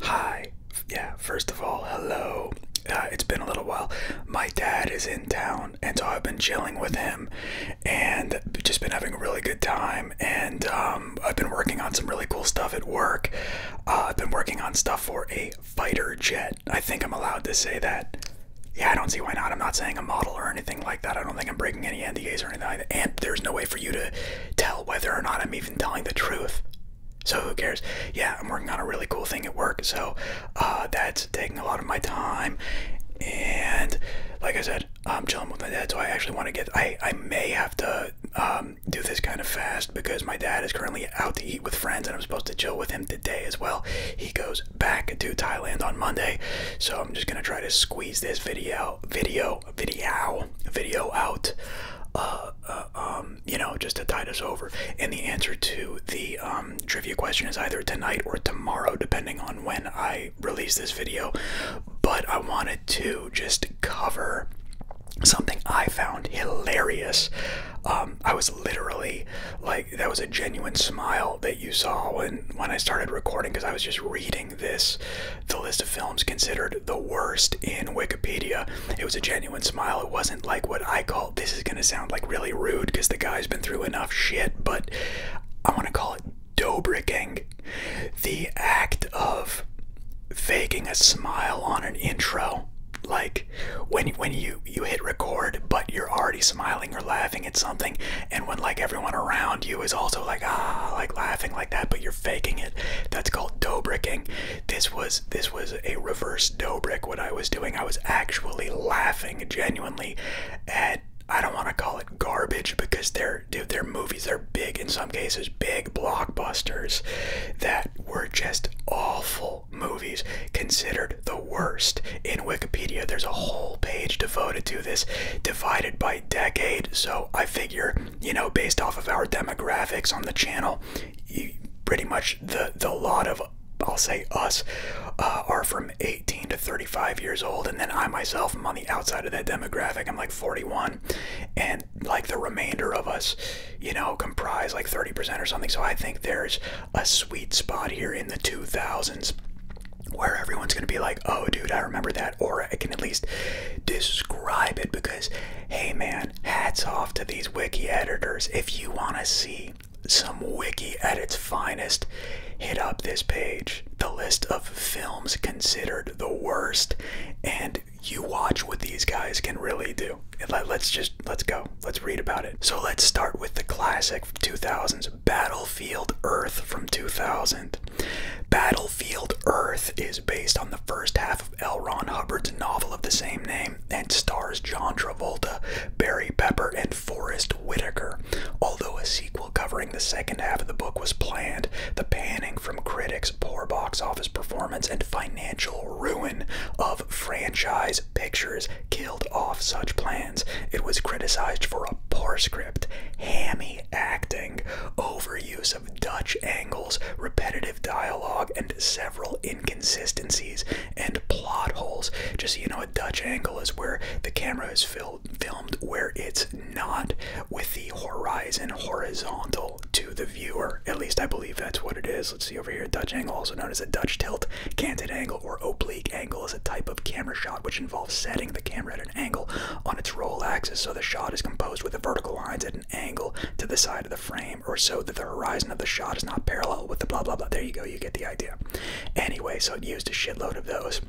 Hi. Yeah, first of all, hello. Uh, it's been a little while. My dad is in town, and so I've been chilling with him and just been having a really good time. And um, I've been working on some really cool stuff at work. Uh, I've been working on stuff for a fighter jet. I think I'm allowed to say that. Yeah, I don't see why not. I'm not saying a model or anything like that. I don't think I'm breaking any NDAs or anything like that. And there's no way for you to tell whether or not I'm even telling the truth. So who cares? Yeah, I'm working on a really cool thing at work, so uh, that's taking a lot of my time. And like I said, I'm chilling with my dad, so I actually want to get. I I may have to um, do this kind of fast because my dad is currently out to eat with friends, and I'm supposed to chill with him today as well. He goes back to Thailand on Monday, so I'm just gonna try to squeeze this video, video, video, video out. Uh, uh, um, um, you know, just to tide us over. And the answer to the um, trivia question is either tonight or tomorrow, depending on when I release this video. But I wanted to just cover something I found hilarious. Um, I was literally like that was a genuine smile that you saw when when I started recording because I was just reading this the list of films considered the worst in Wikipedia. It was a genuine smile. It wasn't like what I call this is going to sound like really rude because the guy's been through enough shit, but I want to call it dobricking. The act of faking a smile on an intro like when when you you hit record but you're already smiling or laughing at something and when like everyone around you is also like ah like laughing like that but you're faking it that's called dobricking this was this was a reverse Dobrik. What I was doing, I was actually laughing genuinely at. I don't want to call it garbage because their are movies. They're big in some cases, big blockbusters that were just awful movies, considered the worst. In Wikipedia, there's a whole page devoted to this, divided by decade. So I figure you know, based off of our demographics on the channel, pretty much the the lot of I'll say us uh, are from 18 to 35 years old, and then I myself am on the outside of that demographic. I'm like 41, and like the remainder of us, you know, comprise like 30% or something. So I think there's a sweet spot here in the 2000s where everyone's going to be like, oh, dude, I remember that, or I can at least describe it because hey man, hats off to these wiki editors. If you want to see some wiki at its finest, hit up this page. The list of films considered the worst, and you watch what these guys can really do. Let's just, let's go. Let's read about it. So let's start with the classic 2000s, Battlefield Earth from 2000. Battle Field Earth is based on the first half of L. Ron Hubbard's novel of the same name and stars John Travolta, Barry Pepper, and Forrest Whitaker. Although a sequel covering the second half of the book was planned, the panning from critics, poor box office performance, and financial ruin of franchise pictures killed off such plans. It was criticized for a poor script, hammy acting, overuse of Dutch angles, repetitive dialogue, and several inconsistencies and plot holes. Just so you know, a Dutch angle is where the camera is filmed, filmed where it's not with the horizon horizontal to the viewer. At least I believe that's what it is. Let's see over here. Dutch angle, also known as a Dutch tilt, canted angle, or oblique angle, is a type of camera shot which involves setting the camera at an angle on its roll axis so the shot is composed with the vertical lines angle to the side of the frame or so that the horizon of the shot is not parallel with the blah blah blah. There you go, you get the idea. Anyway, so it used a shitload of those.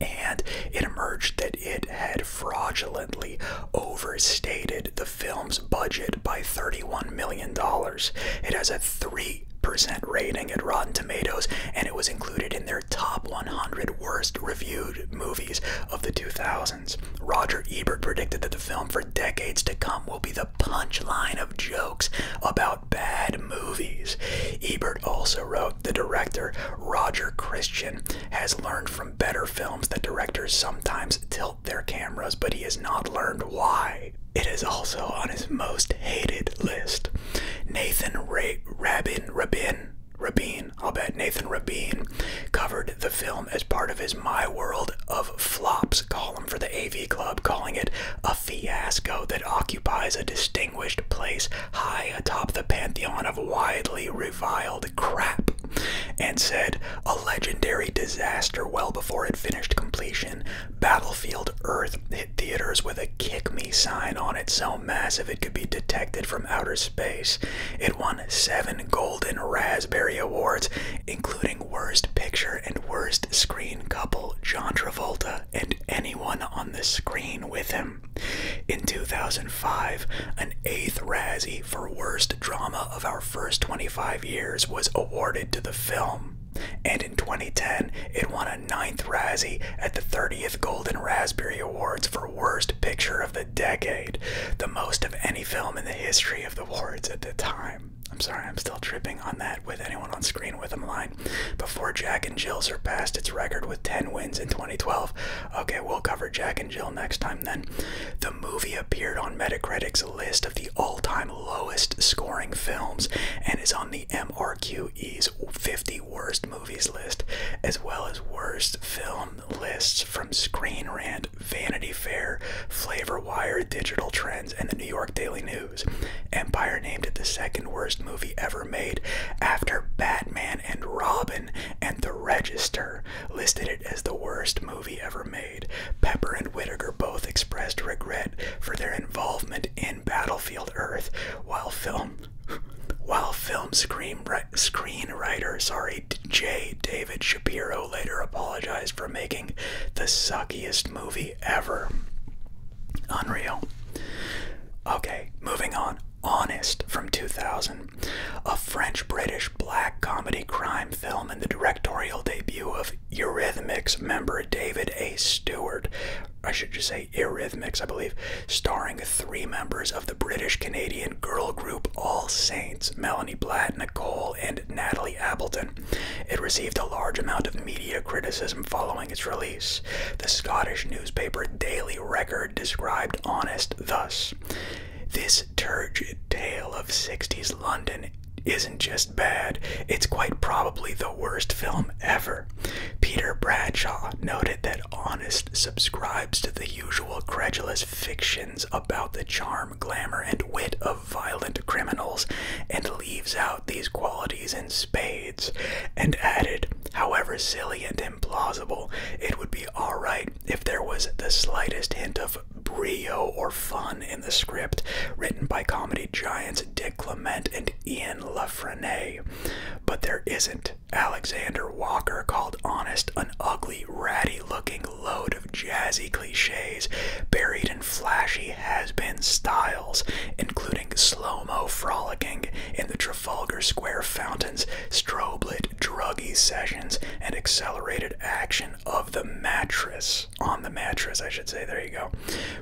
And it emerged that it had fraudulently overstated the film's budget by $31 million. It has a 3% rating at Rotten Tomatoes, and it was included in their top 100 worst reviewed movies of the 2000s. Roger Ebert predicted that the film for decades to come will be the punchline of jokes about bad movies. Ebert also wrote the director Roger Christian has learned from better films that directors sometimes tilt their cameras, but he has not learned why. It is also on his most hated list. Nathan Ra Rabin Rabin Rabin, I'll bet Nathan Rabin covered the film as part of his My World of Flops column for the AV Club, calling it a fiasco that occupies a distinguished place high atop the pantheon of widely reviled crap, and said, a legendary disaster well before it finished completion. Battlefield Earth hit theaters with a kick me sign on its own massive it could be detected from outer space. It won seven Golden Raspberry Awards, including Worst Picture and Worst Screen Couple, John Travolta, and anyone on the screen with him. In 2005, an eighth Razzie for Worst Drama of Our First 25 Years was awarded to the film. And in 2010, it won a ninth Razzie at the 30th Golden Raspberry Awards for Worst Picture of the decade, the most of any film in the history of the awards at the time. I'm sorry, I'm still tripping on that with anyone on screen with a line. Before Jack and Jill surpassed its record with 10 wins in 2012. Okay, we'll cover Jack and Jill next time then. The movie appeared on Metacritic's list of the all time lowest scoring films and is on the MRQE's 50 worst movies list, as well as worst film lists from Screen Rant, Vanity Fair, Flavor Wire, Digital Trends, and the New York Daily News. Empire named it the second worst movie ever made after Batman and Robin, and The Register listed it as the worst movie ever made. Pepper and Whittaker both expressed regret for their involvement in Battlefield Earth, while film while film screenwriter, screenwriter sorry, J. David Shapiro later apologized for making the suckiest movie ever. Unreal. Okay, moving on. Honest from 2000, a French British black comedy crime film and the directorial debut of Eurythmics member David A. Stewart. I should just say Eurythmics, I believe, starring three members of the British Canadian girl group All Saints Melanie Blatt, Nicole, and Natalie Appleton. It received a large amount of media criticism following its release. The Scottish newspaper Daily Record described Honest thus This turgid tale of 60s London isn't just bad, it's quite probably the worst film ever. Peter Bradshaw noted that honest subscribes to the usual credulous fictions about the charm, glamour, and wit of violent criminals, and leaves out these qualities in spades, and added, however silly and implausible, it would be alright if there was the slightest hint of brio or fun in the script written by comedy giants Dick Clement and Ian LaFrene. But there isn't. Alexander Walker called Honest an ugly, ratty looking load of jazzy cliches buried in flashy has been styles, including slow mo frolicking in the Trafalgar Square fountains, strobe lit druggy sessions, and accelerated action of the mattress. On the mattress, I should say, there you go.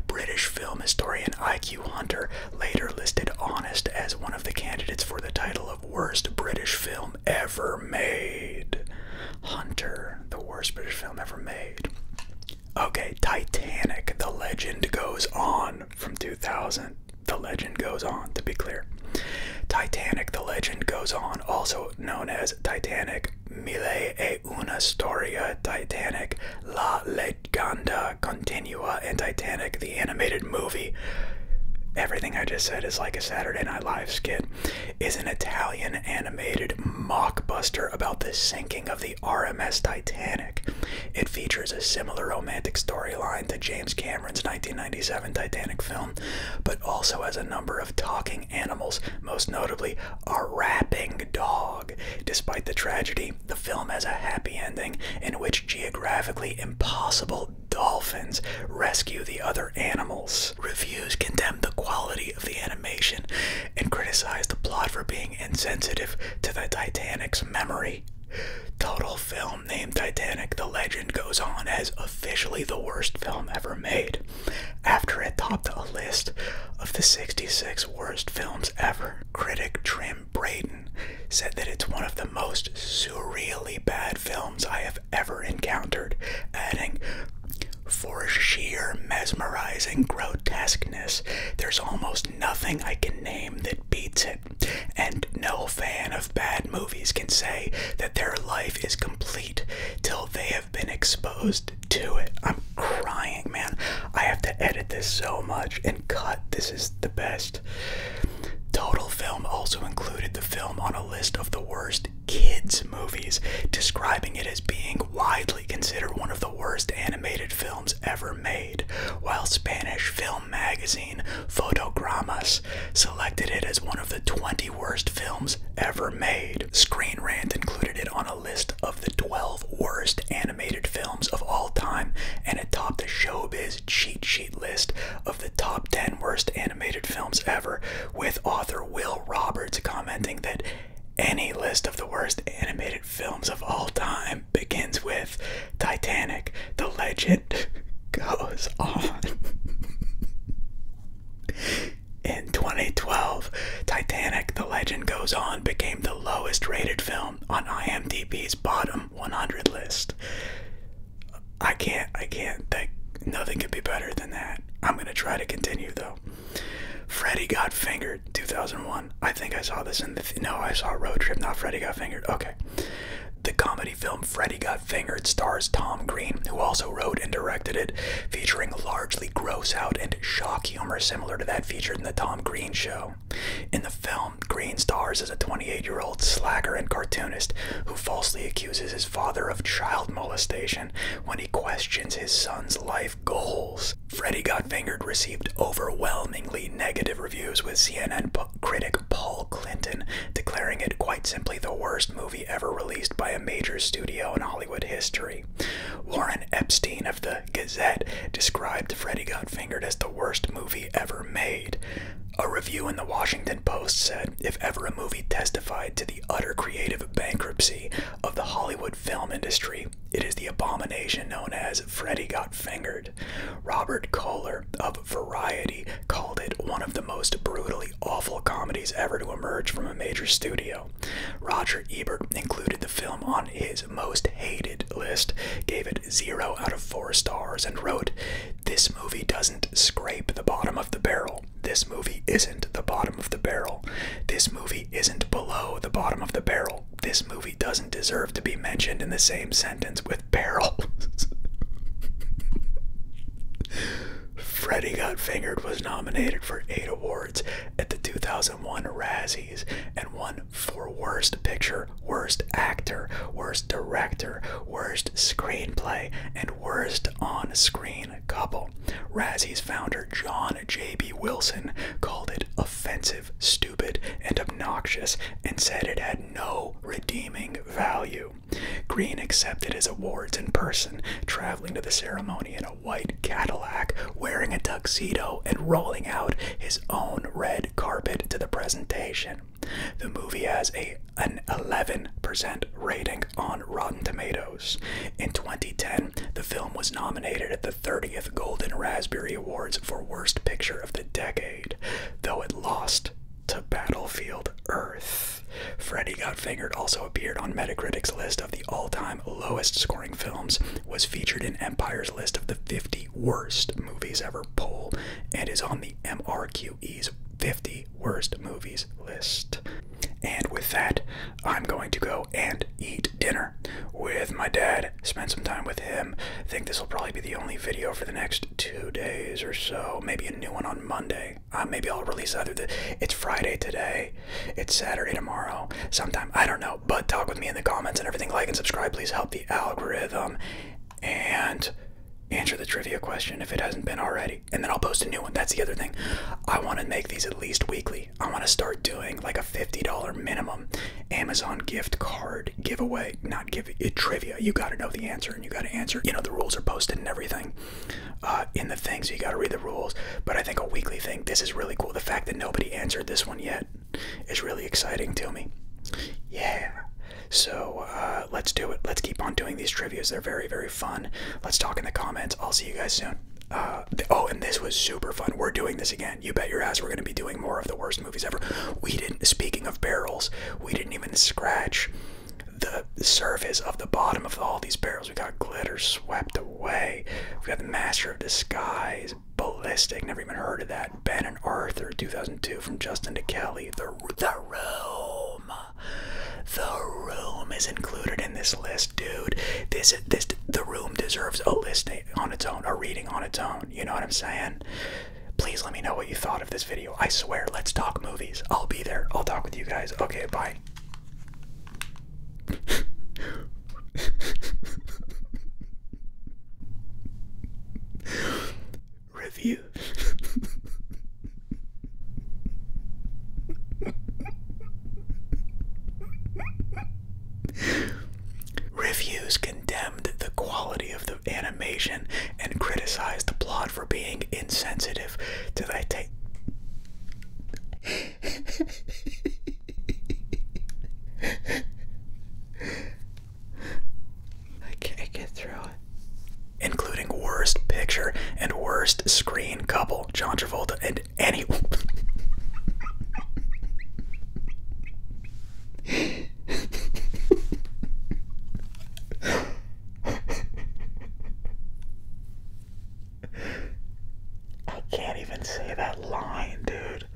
British film historian I.Q. Hunter later listed Honest as one of the candidates for the title of worst British film ever made. Hunter, the worst British film ever made. Okay, Titanic, the legend goes on from 2000. The legend goes on, to be clear. Titanic, the legend goes on, also known as Titanic. Mille e una storia Titanic, la legenda Continua and Titanic, the animated movie. Everything I just said is like a Saturday Night Live skit. Is an Italian animated mockbuster about the sinking of the RMS Titanic. It features a similar romantic storyline to James Cameron's 1997 Titanic film, but also has a number of talking animals, most notably a rapping dog. Despite the tragedy, the film has a happy ending in which geographically impossible dolphins rescue the other animals. Reviews condemn the quality of the animation and criticize the plot for being insensitive to the Titanic's memory. Total Film named Titanic The Legend Goes On as officially the worst film ever made, after it topped a list of the 66 worst films ever. Critic Trim Braden said that it's one of the most surreally bad films I have ever encountered, adding, for sheer mesmerizing grotesqueness, there's almost nothing I can name that beats it, and no fan of bad movies can say that their life is complete till they have been exposed to it. I'm crying, man. I have to edit this so much and cut. This is the best. Total Film also included the film on a list of the worst kids' movies, describing it as being widely considered one of the worst animated films ever made, while Spanish film magazine Fotogramas selected it as one of the 20 worst films ever made. Screen Rant included it on a list of the 12 worst animated films of all time, and it topped the Showbiz cheat sheet list of the top 10 worst animated films ever, with author Will Roberts commenting that any list of the worst animated films of all time begins with Titanic. The legend goes on. In 2012, Titanic The Legend Goes On became the lowest rated film on IMDb's bottom 100 list. I can't, I can't think nothing could be better than that. I'm gonna try to continue though. Freddy Got Fingered, 2001. I think I saw this in the no, I saw Road Trip, not Freddy Got Fingered. Okay. The comedy film Freddy Got Fingered stars Tom Green, who also wrote and directed it, featuring largely gross out and shock humor similar to that featured in The Tom Green Show. In the film, Green stars as a 28 year old slacker and cartoonist who falsely accuses his father of child molestation when he questions his son's life goals. Freddy Got Fingered received overwhelmingly negative reviews, with CNN critic Paul Clinton declaring it quite simply the worst movie ever released by a major studio in Hollywood history. Warren Epstein of the Gazette described Freddy Got Fingered as the worst movie ever made a review in the Washington Post said if ever a movie testified to the utter creative bankruptcy of the Hollywood film industry, it is the abomination known as Freddy Got Fingered. Robert Kohler of Variety called it one of the most brutally awful comedies ever to emerge from a major studio. Roger Ebert included the film on his most hated list, gave it zero out of four stars and wrote, This movie doesn't scrape the bottom of the barrel. This movie isn't the bottom of the barrel. This movie isn't below the bottom of the barrel. This movie doesn't deserve to be mentioned in the same sentence with barrel. Freddy Got Fingered was nominated for eight awards at the 2001 Razzies and won for worst picture, worst actor, worst director, worst screenplay, and worst on screen couple. Razzie's founder John J.B. Wilson called it offensive, stupid, and obnoxious and said it had no redeeming value. Green accepted his awards in person, traveling to the ceremony in a white Cadillac, wearing a tuxedo, and rolling out his own red carpet to the presentation. The movie has a an 11% rating on Rotten Tomatoes. In 2010, the film was nominated at the 30th Golden Raspberry Awards for Worst Picture of the Decade, though it lost to Battlefield Earth. Freddy Got Fingered also appeared on Metacritic's list of the all-time lowest scoring films, was featured in Empire's list of the 50 worst movies ever poll and is on the MRQE's 50 worst movies list. And with that, I'm going to go and eat dinner with my dad, spend some time with him. I think this will probably be the only video for the next two days or so. Maybe a new one on Monday. Uh, maybe I'll release other. It's Friday today, it's Saturday tomorrow, sometime. I don't know. But talk with me in the comments and everything. Like and subscribe. Please help the algorithm and answer the trivia question if it hasn't been already. And then I'll post a new one. That's the other thing. I want to make these at least weekly. I want to start doing like a $50 minimum Amazon gift card giveaway. Not give eh, trivia. You got to know the answer and you got to answer. You know, the rules are posted and everything uh, in the thing, so you got to read the rules. But I think a weekly thing, this is really cool. The fact that nobody answered this one yet, is really exciting to me. Yeah. So uh, let's do it. Let's keep on doing these trivia. They're very, very fun. Let's talk in the comments. I'll see you guys soon. Uh, oh, and this was super fun. We're doing this again. You bet your ass we're going to be doing more of the worst movies ever. We didn't, speaking of barrels, we didn't even scratch the surface of the bottom of all these barrels. We got glitter swept away. We got the master of disguise ballistic. Never even heard of that. Ben and Arthur, 2002, from Justin to Kelly. The, the room. The room is included in this list, dude. This this the room deserves a list on its own, a reading on its own. You know what I'm saying? Please let me know what you thought of this video. I swear, let's talk movies. I'll be there. I'll talk with you guys. Okay, bye. Review. Reviews condemned the quality of the animation and criticized the plot for being insensitive to the take. Including worst picture and worst screen couple, John Travolta and anyone. I can't even say that line, dude.